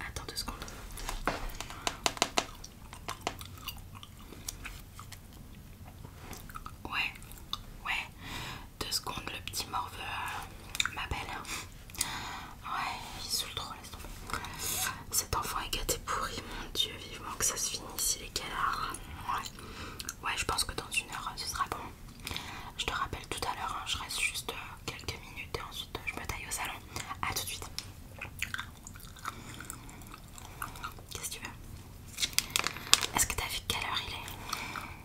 Attends deux secondes. Ouais, ouais, deux secondes, le petit morveux euh, m'appelle. Ouais, il soule trop cet enfant est gâté pourri, mon dieu, vivement que ça se finisse, il est quelle heure ouais. je pense que dans une heure, ce sera bon. Je te rappelle tout à l'heure, hein, je reste juste euh, quelques minutes et ensuite euh, je me taille au salon. A tout de suite. Qu'est-ce que tu veux Est-ce que t'as vu quelle heure il est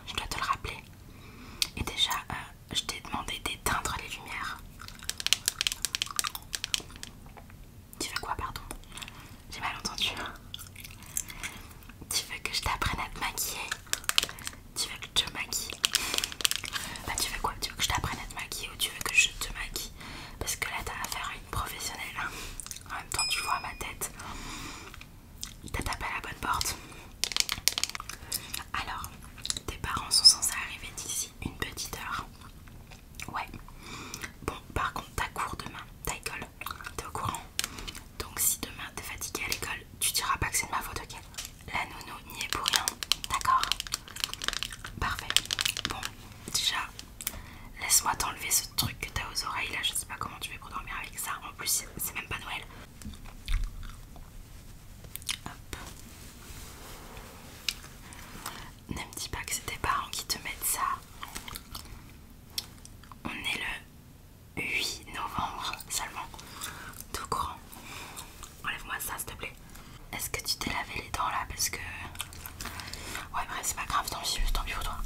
Je dois te le rappeler. Et déjà, euh, je t'ai demandé d'éteindre les lumières. Tu veux quoi, pardon J'ai mal entendu. Tu veux que je t'apprenne à te maquiller Tu veux que je te maquille Bah tu veux quoi Tu veux que je t'apprenne à te maquiller ou tu veux que je te maquille Parce que là t'as affaire à une professionnelle. Hein. En même temps tu vois ma tête. T'as tapé à la bonne porte. Alors, tes parents sont censés arriver d'ici une petite heure. Ouais. Bon, par contre, t'as cours demain, t'as école, t'es au courant. Donc si demain t'es fatigué à l'école, tu diras pas que c'est de ma faute, ok La nounou n'y est pour rien, d'accord Parfait. Bon, déjà, laisse-moi t'enlever ce truc que t'as aux oreilles là, je sais pas comment tu fais pour dormir avec ça. En plus, c'est même pas Noël. Hop. Ne me dis pas que c'est tes parents qui te mettent ça. On est le 8 novembre seulement. Tout courant. Enlève-moi ça s'il te plaît. Est-ce que tu t'es lavé les dents là parce que... Ouais bref c'est pas grave, tant je tant pis pour toi.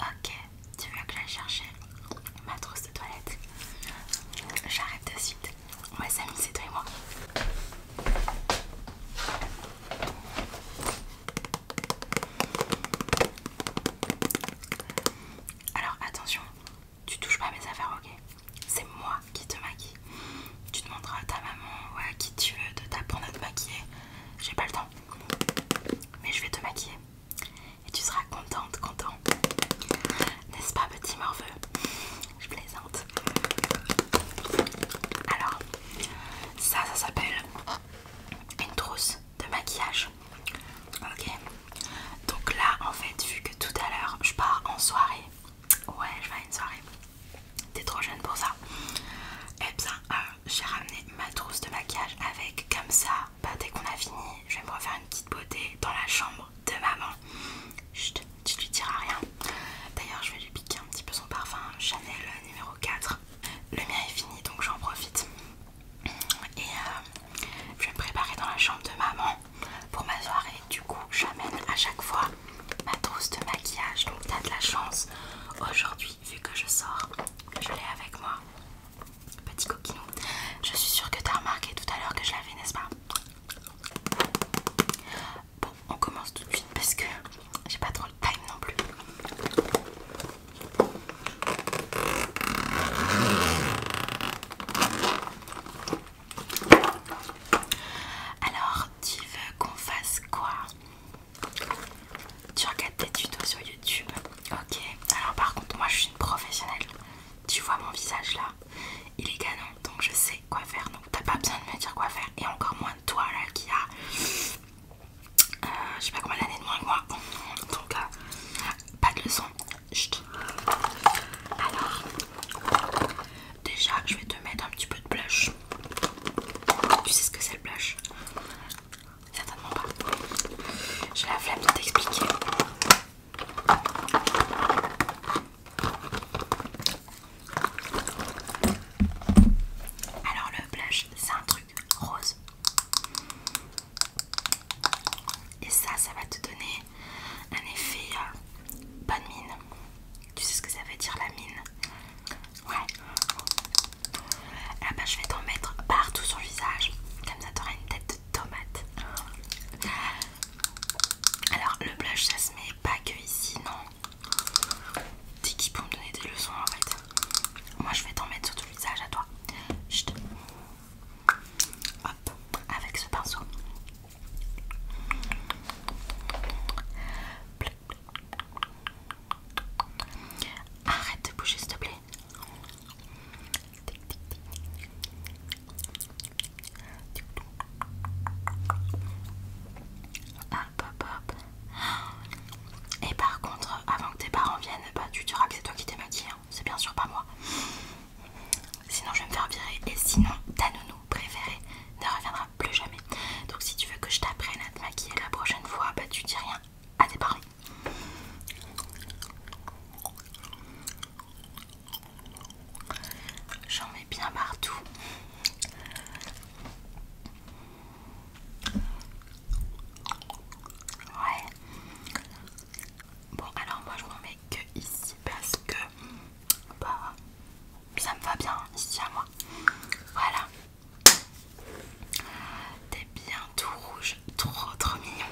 Ok, tu veux que j'aille chercher ma trousse de toilette J'arrête de suite. On va c'est toi et moi. Alors attention, tu touches pas mes affaires, ok C'est moi qui te maquille. Tu demanderas à ta maman ou à qui tu veux de t'apprendre à te maquiller. J'ai pas le temps. Mais je vais te maquiller. Et tu seras contente, content. N'est-ce pas petit morveux Je plaisante. Alors, ça, ça s'appelle une trousse de maquillage. Ok. Donc là, en fait, vu que tout à l'heure, je pars en soirée. Ouais, je vais à une soirée. T'es trop jeune pour ça. Et eh bien, euh, j'ai ramené ma trousse de maquillage avec, comme ça, bah, dès qu'on a fini, je vais me refaire une petite beauté dans la chambre de maman. tu lui diras rien. D'ailleurs, je vais lui piquer un petit peu son parfum Chanel numéro 4. Le mien est fini donc j'en profite. Et euh, je vais me préparer dans la chambre de maman pour ma soirée. Du coup, j'amène à chaque fois ma trousse de maquillage. Donc, t'as de la chance aujourd'hui, vu que je sors, je l'ai avec moi. Petit coquinou. Je suis sûre que t'as remarqué tout à l'heure que je l'avais, n'est-ce pas Bon, on commence tout de suite parce que j'ai pas trop le time non plus. Alors, tu veux qu'on fasse quoi Tu regardes des tutos sur YouTube Ok. Alors, par contre, moi je suis une professionnelle. Tu vois mon visage là Il est canon, donc je sais quoi faire. Donc t'as pas besoin de me dire quoi faire. Et encore moins de toi là qui a... Euh, je sais pas combien d'années de moins que moi. Donc euh, pas de leçon. Alors, déjà je vais te mettre un petit peu de blush. Tu sais ce que c'est le blush Certainement pas. J'ai la flemme de t'expliquer. Alors le blush, c'est un truc rose. Et ça, ça va te donner un effet euh, bonne mine. Tu sais ce que ça veut dire la mine Ouais. Ah bah je vais t'en mettre partout sur le visage. Comme ça, t'auras une tête tomate. Alors le blush ça se met pas que ici, non. T'es qui pour me donner des leçons en fait Moi je vais t'en mettre sur tout le visage à toi. Hop, avec ce pinceau. Arrête de bouger s'il te plaît. Hop hop hop. Et par contre, avant que tes parents viennent, bah, tu diras que c'est toi qui t'es maquillé. Hein. C'est bien sûr pas moi. Sinon, je vais me faire virer. Et sinon, ta nounou préférée ne reviendra plus jamais. Donc, si tu veux que je t'apprenne à te maquiller la prochaine fois, bah, tu dis rien à tes parents. J'en mets bien partout. Ouais. Bon alors moi je m'en mets que ici parce que bah, ça me va bien ici à moi. Voilà. T'es bien tout rouge, trop trop mignon.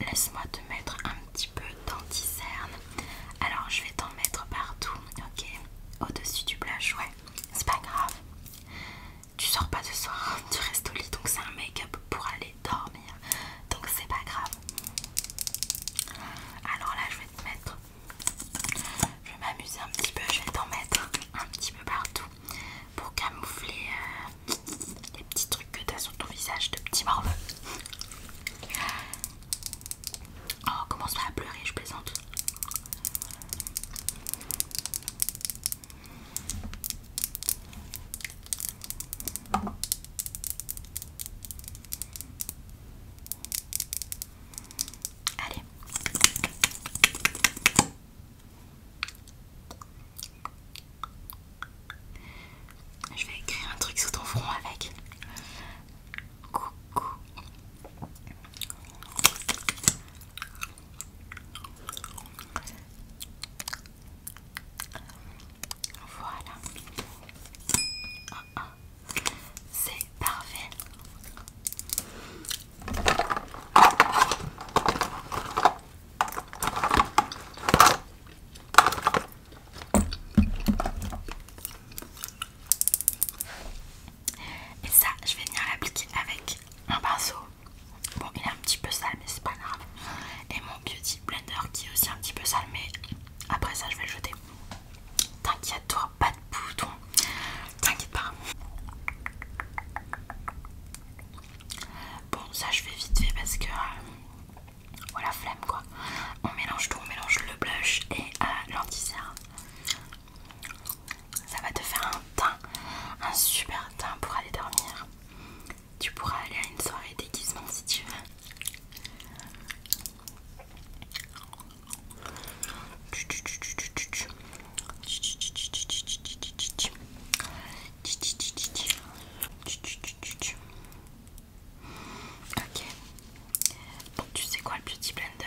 Laisse-moi te mettre un petit peu danti Alors je vais t'en mettre partout, ok Au-dessus du blush, ouais. C'est pas grave. Tu sors pas ce soir, tu restes au lit, donc c'est un make-up pour aller dormir donc c'est pas grave alors là je vais te mettre je vais m'amuser un petit peu je vais t'en mettre un petit peu partout pour camoufler euh, les petits trucs que t'as sur ton visage de petit morveux oh commence pas à pleurer je plaisante Allez. Je vais écrire un truc sur ton front avec. Coucou. Voilà. Ah, ah. C'est parfait. Et ça, je vais venir l'appliquer avec un pinceau Bon, il est un petit peu sale, mais c'est pas grave. Et mon beauty blender qui est aussi un petit peu sale, mais après ça, je vais le jeter. T'inquiète-toi, pas de bouton. T'inquiète pas. Bon, ça, je vais vite fait parce que. Euh, voilà, flemme quoi. On mélange tout, on mélange le blush et euh, lanti Ça va te faire un teint, un super teint pour aller dormir. Tu pourras aller à une soirée déguisement si tu veux. Ok. tu sais quoi le Beauty Blender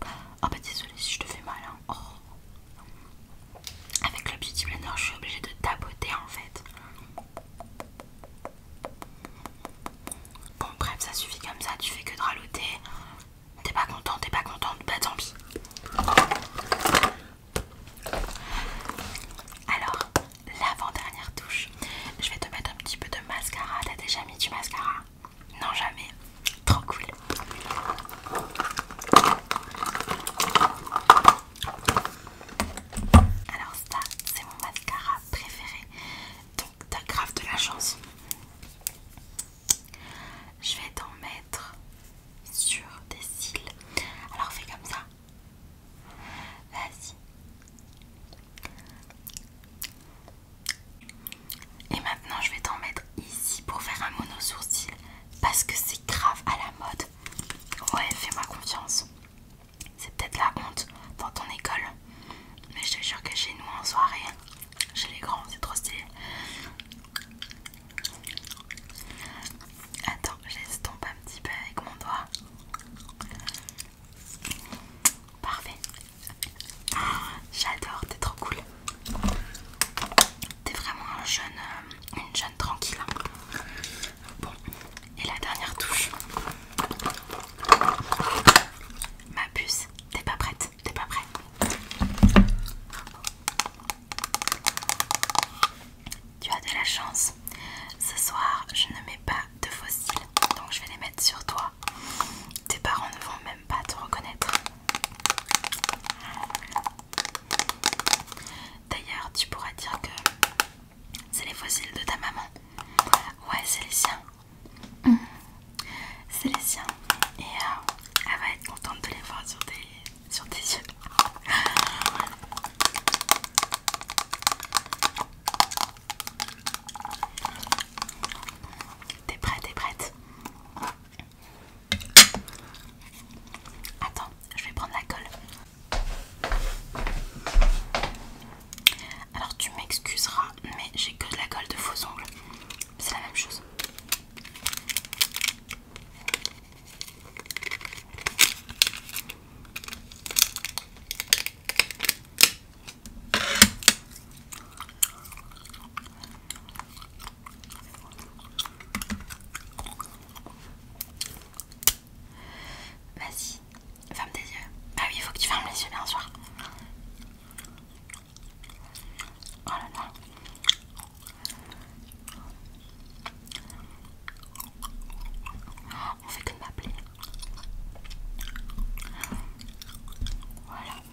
Oh bah désolé si je te fais mal. Hein. Oh. Avec le beauty blender, je suis obligée de tapoter en fait. Bon, bref, ça suffit comme ça. Tu fais que de raloter. T'es pas content, t'es pas contente, bah tant pis. Alors, l'avant-dernière touche, je vais te mettre un petit peu de mascara. T'as déjà mis du mascara Non, jamais. Trop cool. Alors ça, c'est mon mascara préféré. Donc t'as grave de la chance. Je vais t'en mettre sur tes cils. Alors fais comme ça. Vas-y. Et maintenant, je vais t'en mettre ici pour faire un mono sourcil parce que c'est grave à la mode. Ouais, fais-moi confiance. C'est peut-être la honte dans ton école, mais je te jure que chez nous en soirée, chez les grands, c'est trop stylé. Attends, je un petit peu avec mon doigt. Parfait. Ah, j'adore, t'es trop cool. T'es vraiment euh, une jeune tranquille. Hein. Bon, et la dernière touche. Ma puce, t'es pas prête, t'es pas prête. Tu as de la chance. Ce soir, je ne mets pas de fossiles, donc je vais les mettre sur toi. Tes parents ne vont même pas te reconnaître. D'ailleurs, tu pourrais dire que c'est les fossiles de ta maman. Ouais, c'est les siens. Mm. C'est les siens. Et euh, elle va être contente de les voir sur tes, sur tes yeux. T'es prête, t'es prête Attends, je vais prendre la colle. Alors tu m'excuseras, mais j'ai que de la colle de faux ongles. C'est la même chose. Vas-y, ferme tes yeux. Ah oui, il faut que tu fermes les yeux, bien sûr. Oh là là. On fait que de m'appeler. Voilà.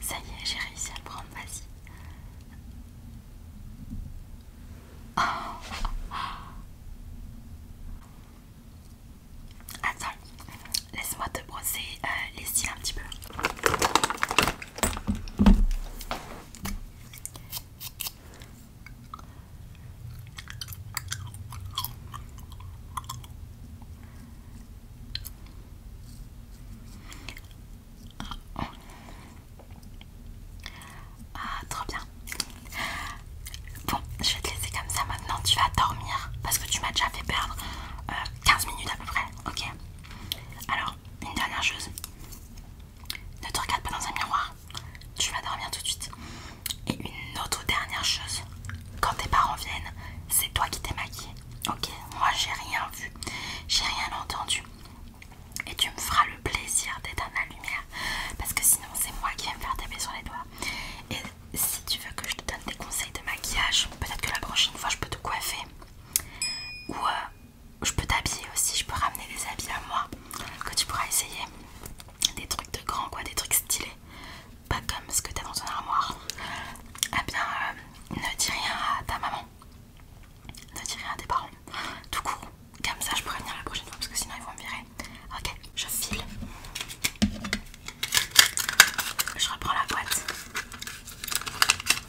Ça y est, j'ai réussi à le prendre, vas-y. Attends, laisse-moi te brosser euh, les cils un petit peu. Ah, trop bien. Bon, je vais te laisser comme ça maintenant. Tu vas dormir parce que tu m'as déjà fait perdre 15 euh, minutes à peu près. Ok. Alors, une dernière chose. Ne te regarde pas dans un miroir, tu vas dormir tout de suite. Et une autre dernière chose, quand tes parents viennent, c'est toi qui t'es maquillée. Ok, moi j'ai rien vu, j'ai rien entendu. Et tu me feras le plaisir D'être dans la lumière. Parce que sinon c'est moi qui vais me faire taper sur les doigts. Et si tu veux que je te donne des conseils de maquillage, peut-être que la prochaine fois je peux te coiffer. Ou euh, je peux t'habiller aussi, je peux ramener des habits à moi que tu pourras essayer. Des trucs de grand quoi, des trucs stylés. Pas comme ce que t'as dans ton armoire. eh bien, euh, ne dis rien à ta maman. Ne dis rien à tes parents. Tout court. Comme ça, je pourrai venir la prochaine fois parce que sinon ils vont me virer. Ok, je file. Je reprends la boîte.